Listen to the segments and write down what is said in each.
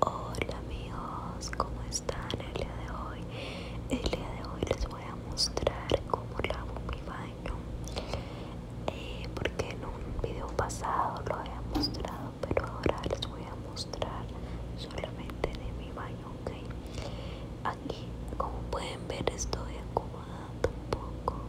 Hola amigos, ¿cómo están el día de hoy? El día de hoy les voy a mostrar cómo lavo mi baño eh, Porque en un video pasado lo había mostrado Pero ahora les voy a mostrar solamente de mi baño, ¿ok? Aquí, como pueden ver, estoy acomodando un poco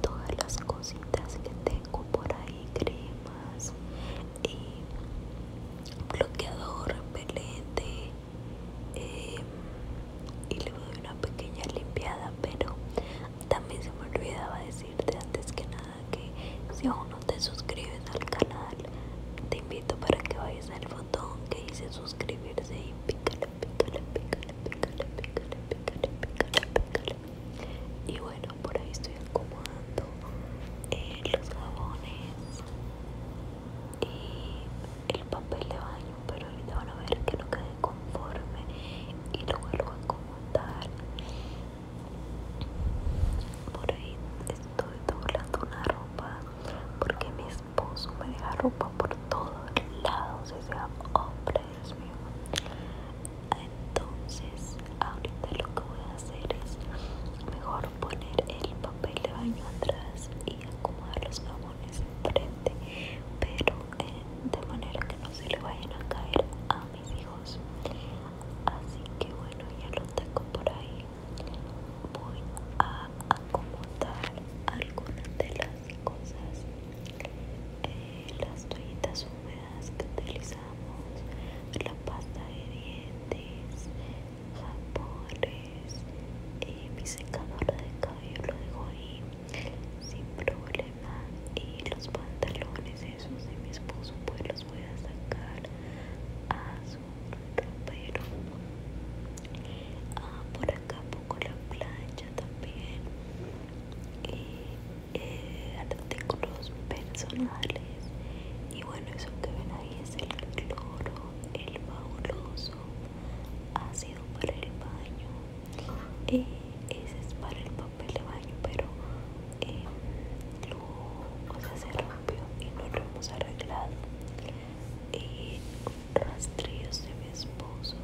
Todas las cositas que tengo por ahí, cremas y bloqueador repelente y le doy una pequeña limpiada pero también se me olvidaba decirte antes que nada que si aún no te suscribes al canal te invito para que vayas al botón que dice suscribirse y pícalo, pícale pícale pícale pícale pícale pícale pícale y bueno por ahí estoy acomodando eh, los jabones y el papel de baño pero ahorita van a ver que no quede conforme y lo vuelvo a acomodar por ahí estoy doblando una ropa porque mi esposo me deja ropa por todos lados, o sea, hombre, Dios mío entonces ahorita lo que voy a hacer es mejor poner el papel de baño atrás y acomodar los jabones enfrente pero eh, de manera que no se le vayan a caer a mis hijos así que bueno ya lo tengo por ahí voy a acomodar algunas de las cosas eh, las toallitas húmedas que utilizo la pasta de dientes, jabones, y eh, mi secadora de cabello lo dejo ahí sin problema y los pantalones esos de mi esposo pues los voy a sacar a su ropero ah, por acá pongo la plancha también y eh, artículos personales y bueno eso que ven ahí es el cloro el fabuloso ácido para el baño y eh, ese es para el papel de baño pero eh, lo, vamos se y no lo hemos arreglado y eh, rastrillos de mi esposo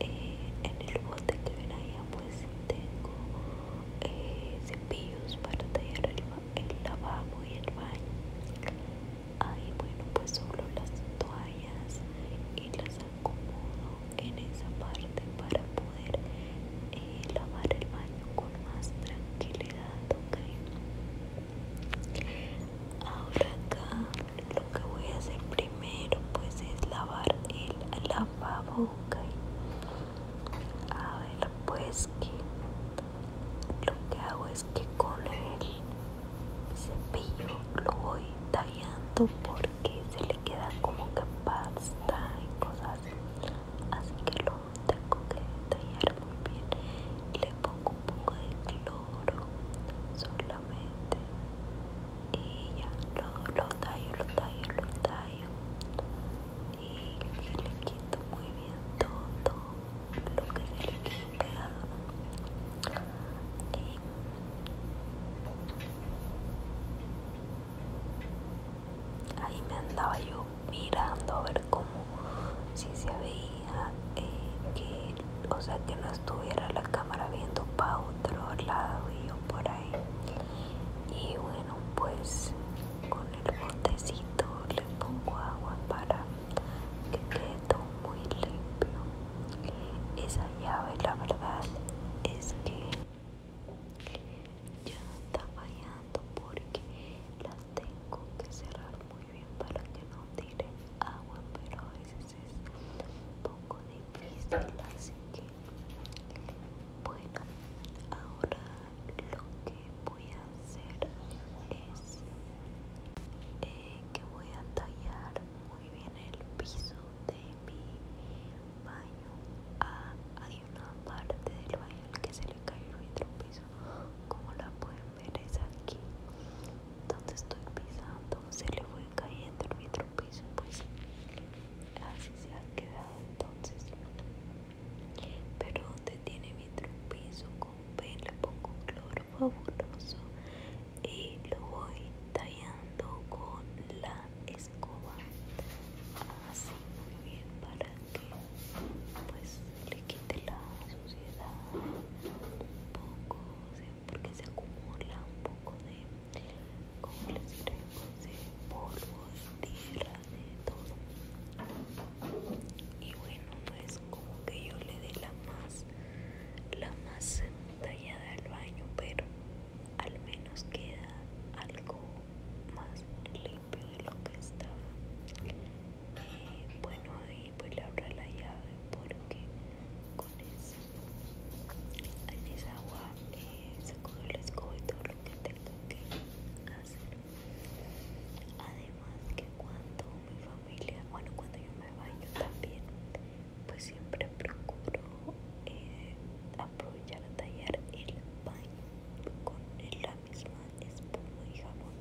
en el bote que ven ahí ah, pues tengo eh, cepillos para tallar el, lavabo y el baño ahí bueno pues solo las toallas y las acomodo en esa parte para poder eh, lavar el baño con más tranquilidad ok ahora acá lo que voy a hacer primero pues es lavar el lavabo ok a ver pues que lo que hago es que con el cepillo lo voy tallando porque se le queda como que pasta y cosas así que lo tengo que tallar muy bien y le pongo un poco de cloro solamente y ya lo tallo lo tallo lo tallo y le quito muy bien todo lo que le quedó ahí me andaba yo mirando a ver cómo si se veía que o sea que no estuviera la cámara viendo para otro lado y yo por ahí y bueno pues con el botecito le pongo agua para que quede todo muy limpio esa llave la verdad es que ya está fallando porque la tengo que cerrar muy bien para que no tire agua pero a veces es un poco difícil así que bueno, ahora lo que voy a hacer es eh, que voy a tallar muy bien el piso de mi baño. Ah, hay una parte del baño en que se le cae el piso, como la pueden ver es aquí donde estoy pisando se le fue cayendo el piso pues así se ha quedado entonces pero donde tiene mi trompizo con pelo pongo un cloro fabuloso y lo voy tallando con la escoba. Así muy bien para que pues le quite la suciedad un poco, porque se acumula un poco de, como le diré, pues, de polvo, y tierra, todo y bueno no es pues, como que yo le dé la más la más tallada al baño pero al menos queda algo más limpio de lo que estaba bueno ahí pues le abro la llave porque con eso esa agua eh, saco el que tengo que hacer. Además que cuando mi familia, bueno cuando yo me baño también, pues siempre procuro eh, aprovechar a tallar el baño con la misma espuma y jabón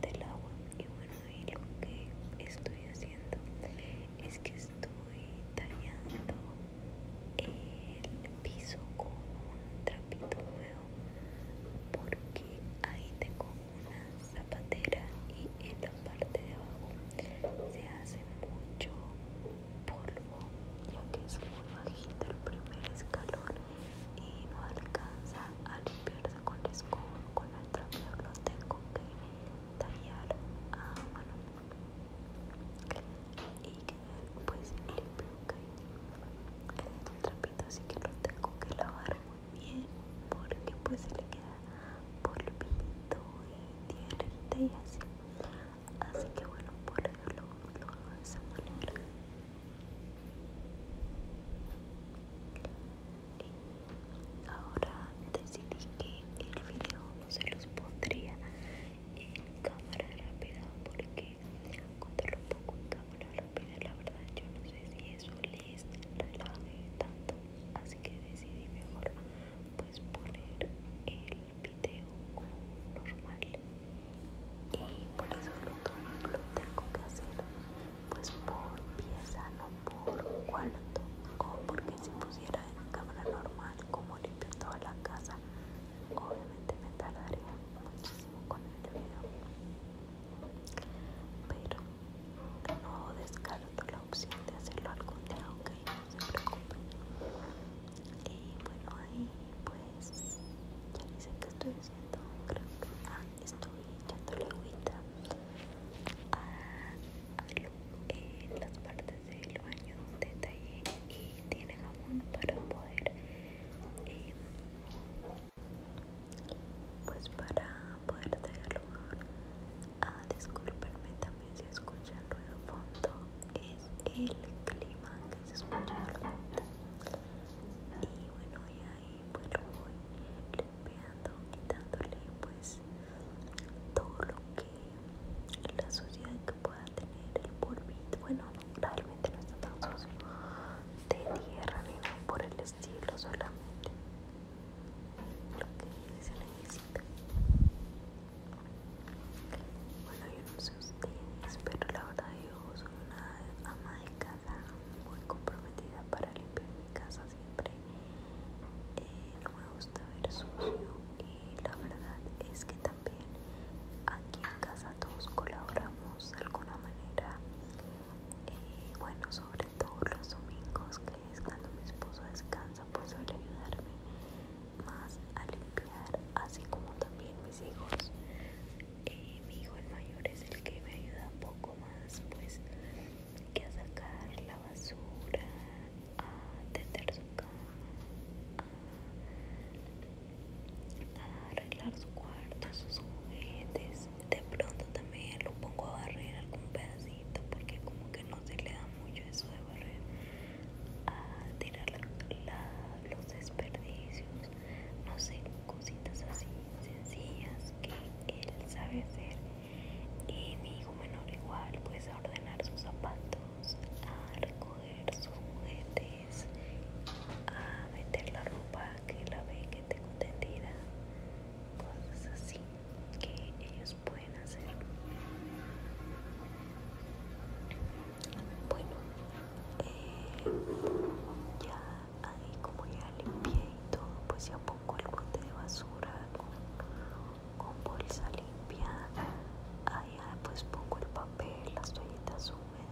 del agua. Y bueno, lo que estoy haciendo es que estoy tallando el piso con un trapito nuevo porque ahí tengo una zapatera y en la parte de abajo se hace mucho polvo lo que es muy bajito el primer escalón y no alcanza a limpiarse con el escudo. con el trapeador los tengo que tallar a mano y pues el un trapito así que lo tengo que lavar muy bien porque pues se le queda polvito y tierrita y así así que bueno por eso lo, lo hago de esa manera ahora decidí que el video no se los pondría en cámara rápida porque contar un poco en cámara rápida la verdad yo no sé si eso les relaje tanto así que decidí mejor pues poner el video normal y por eso lo, tengo, que hacer pues por pieza no por cuarto o porque si pusiera en cámara normal como limpio toda la casa obviamente me tardaría muchísimo con el video pero no descarto la opción de hacerlo algún día aunque no se preocupen y bueno ahí pues ya dicen que estoy haciendo creo que ah, estoy echando agüita a, a, las partes del baño detalle y tiene aún para poder pues para poder tener lugar a disculparme también si escuchan ruido fondo es el clima que se escucha y bueno y ahí pues lo voy limpiando quitándole pues todo lo que la suciedad que pueda tener el polvito bueno realmente no está tan sucio de tierra ni por el estilo, solamente lo que se Bueno, yo no sé ustedes, pero la verdad yo soy una ama de casa muy comprometida para limpiar mi casa siempre. Eh, no me gusta ver sucio y la verdad es que también aquí en casa todos colaboramos de alguna manera. y bueno, sobre todo los domingos, que es cuando mi esposo descansa, pues suele ayudarme más a limpiar, así como también mis hijos. mi hijo el mayor es el que me ayuda un poco más, pues, que a sacar la basura, a tender su cama, a arreglar su cuarto, sus juguetes. De pronto también lo pongo a barrer algún pedacito porque como que no se le da mucho eso de barrer. A tirar la, los desperdicios, no sé, cositas así sencillas que él sabe hacer. Y mi hijo menor igual, pues a ordenar sus zapatos a recoger sus juguetes, a meter la ropa que la ve que tengo tendida, cosas así que ellos pueden hacer. Bueno, eh, ya ahí como ya limpié y todo, pues ya pongo el bote de basura con, con bolsa limpia. Allá pues pongo el papel, las toallitas húmedas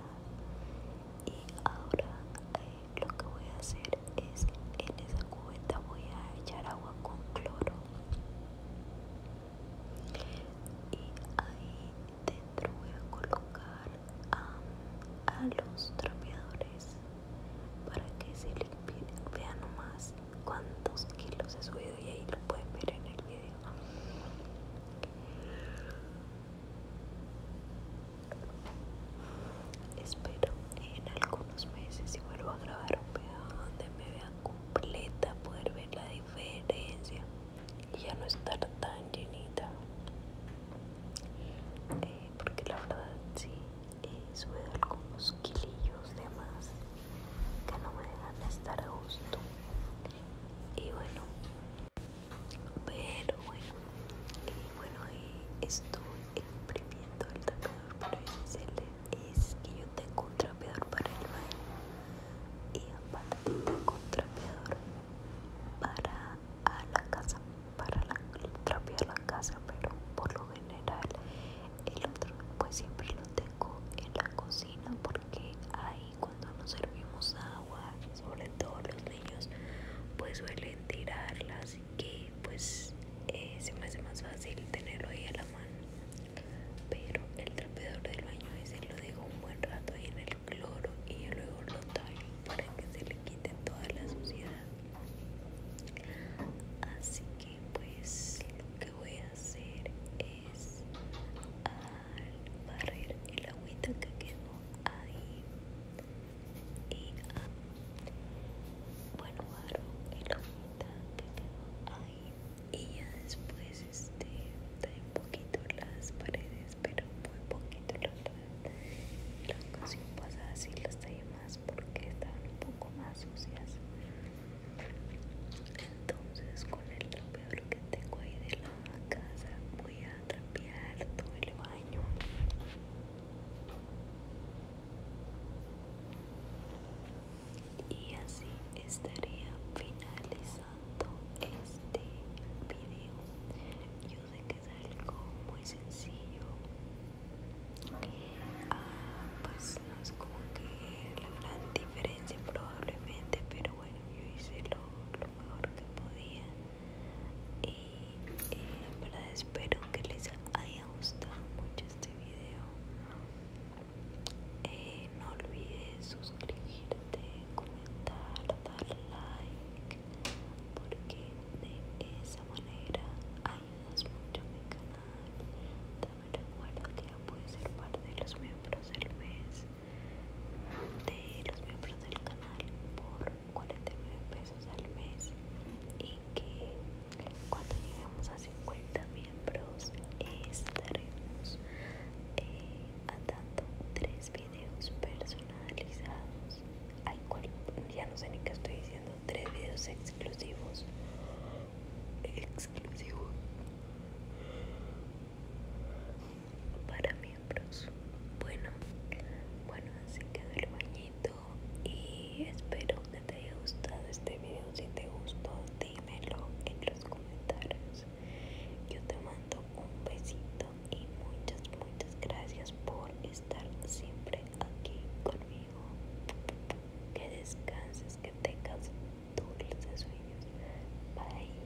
y ahora eh, lo que voy a hacer es en esa cubeta voy a echar agua con cloro y ahí dentro voy a colocar a, los trapeadores para que se limpien vean nomás cuántos kilos he subido y ahí lo pueden ver en el video Espero en algunos meses si vuelvo a grabar un video donde me vea completa poder ver la diferencia y ya no estar tan llenita eh, porque la verdad sí eh, sube algunos kilillos de más que no me dejan estar a gusto y bueno pero bueno bueno estoy imprimiendo el trapeador pero ese es que yo tengo un trapeador para el baño y aparte tengo un trapeador para la casa para la, trapear la casa pero por lo general el otro pues siempre lo tengo en la cocina porque hay cuando nos servimos agua, sobre todo los niños, pues suelen tirarla, así que pues eh, se me hace más fácil tenerlo ahí a la mano. Pero el trapeador del baño ese lo dejo un buen rato ahí en el cloro y yo luego lo tallo para que se le quite toda la suciedad. Así que pues lo que voy a hacer es al barrer el agüita que quedó ahí y ah, bueno barro el agüita que quedó ahí y ya después este trae un poquito las paredes pero muy poquito las verdad la ocasión pasada así las traía más porque estaban un poco más sucias entonces con el peor que tengo ahí de la casa voy a trapear todo el baño y así estaría finalizando este video yo sé que es algo muy sencillo ah, pues no es como que la gran diferencia probablemente pero bueno yo hice lo, mejor que podía y en verdad espero que les haya gustado mucho este video eh, no olvides suscribirte comentar dar like porque de esa manera ayudas mucho a mi canal también recuerda que ya puedes ser parte de los miembros del mes de los miembros del canal por 49 pesos al mes y que cuando lleguemos a 50 miembros estaremos eh, atando tres videos personalizados ya no sé ni qué estoy diciendo tres videos exclusivos exclusivos para miembros bueno bueno así quedó el bañito y espero que te haya gustado este video si te gustó dímelo en los comentarios yo te mando un besito y muchas muchas gracias por estar siempre aquí conmigo que descanses que tengas dulces sueños bye